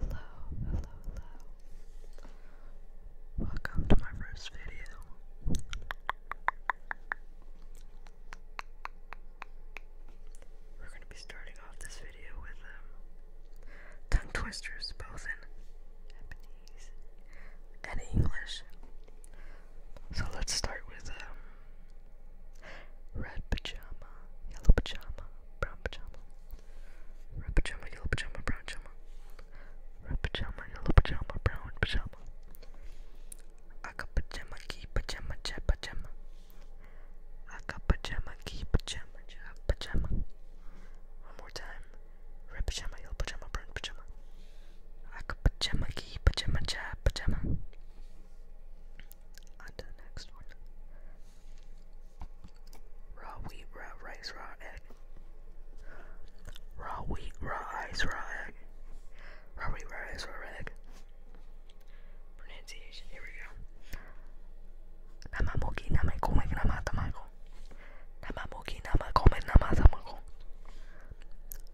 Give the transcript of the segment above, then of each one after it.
Hello, hello, hello. Welcome to my first video. We're going to be starting off this video with um, tongue twisters, both in Japanese and English. So let's start with um, Red pajama, yellow pajama, brown pajama. Red pajama, yellow pajama, brown pajama. Red pajama, yellow pajama, brown pajama. Aka pajama, ki pajama, ja pajama. Aka pajama, ki pajama, ja pajama. One more time. Red pajama, yellow pajama, brown pajama. Like a pajama key, pajama pajama. On the next one. Raw wheat, raw rice, raw egg. Raw wheat, raw rice, raw Raw wheat, raw rice, raw egg. Pronunciation, here we go. Namamoki, namakomik, namatamako. Namamoki, namakomik, namatamago.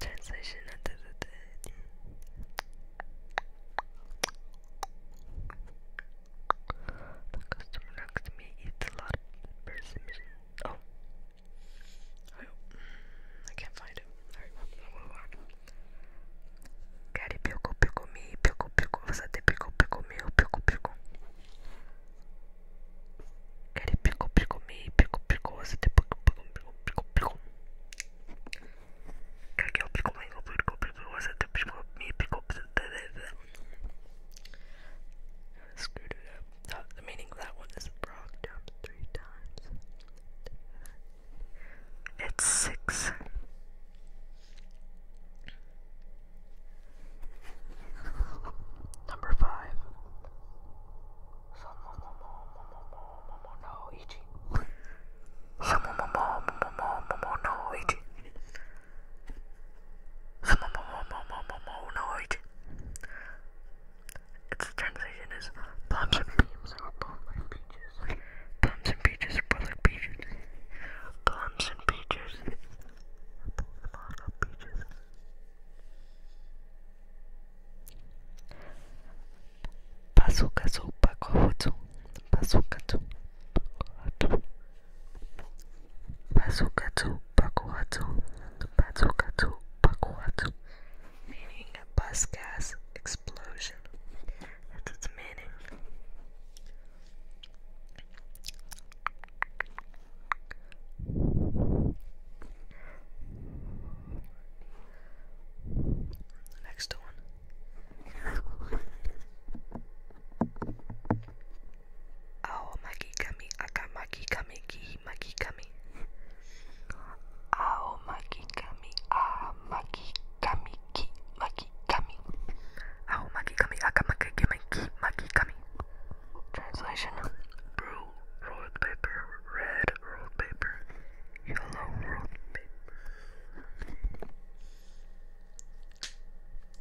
Translation into the The customer next to me eats a lot of persimmon. Oh. I, can't find it. Cari pico pico mi pico pico Você tem pico pico meu pico pico Cari pico pico mi pico pico Você tem pico pico pico pico pico Cari pico pico pico pico Você tem pico mi pico Screwed it up. The meaning of that one is the frog jumps three times. It's six. Number five. Its translation is plums and beans are both like peaches. Plums and peaches are both like peaches. Plums and peaches are both like peaches. Pasukatsu pakohotsu. Pasukatsu pakohotsu. Pasukatsu pakohotsu. Pasukatsu pakohotsu meaning a bus gas explosion. That's its meaning. next one. Aomaki kami akamaki Makikami, ki Makikami. Ao Makikami, a Makikami, ki Makikami. Ao Makikami, aka Makikami, ki Makikami. Translation Blue rolled paper, red rolled paper, yellow rolled paper.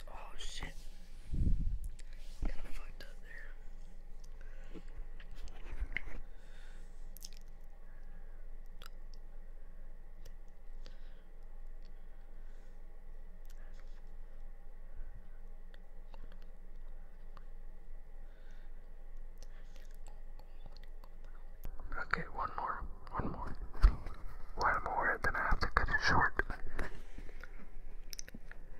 Oh shit. Kinda fucked up. Okay, one more, one more. One more, then I have to cut it short.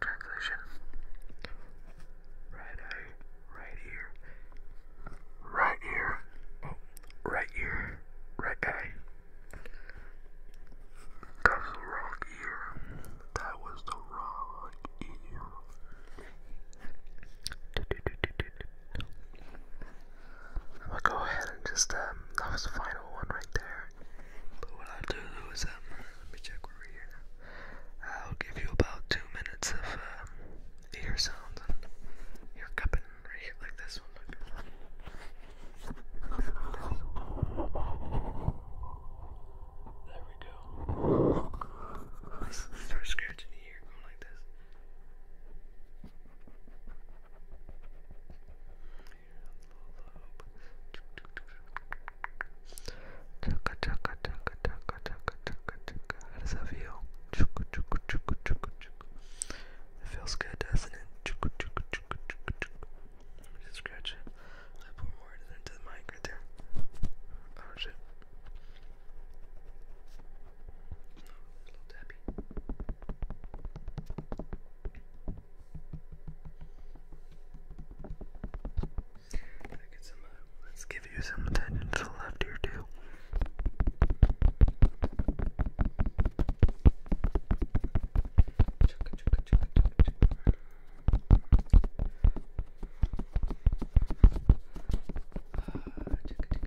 Translation. Right eye, right ear. Right ear. Oh, right ear, right eye. That was the wrong ear. That was the wrong ear. I'm go ahead and just, that was the final one right there. But what i do is, um, let me check where we're here. I'll give you about two minutes of um, ear sounds and ear cupping right here, like this one. There we go. start scratching the ear, going like this. Chaka chaka chaka chaka chaka chaka chaka. How does that feel? Chuka chuka chuka chuka chuka. It feels good, doesn't it? Chuka chuka chuka chuka chuka. Let me just scratch it. I put more into the mic right there. Oh shit. No, a little tappy let's give you some attention to the left ear too. Uh,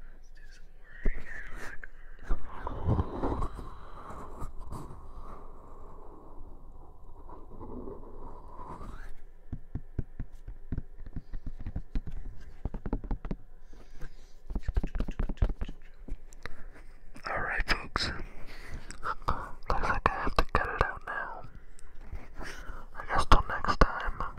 Let's do some work. All right, folks. have to cut it out now. I guess next time.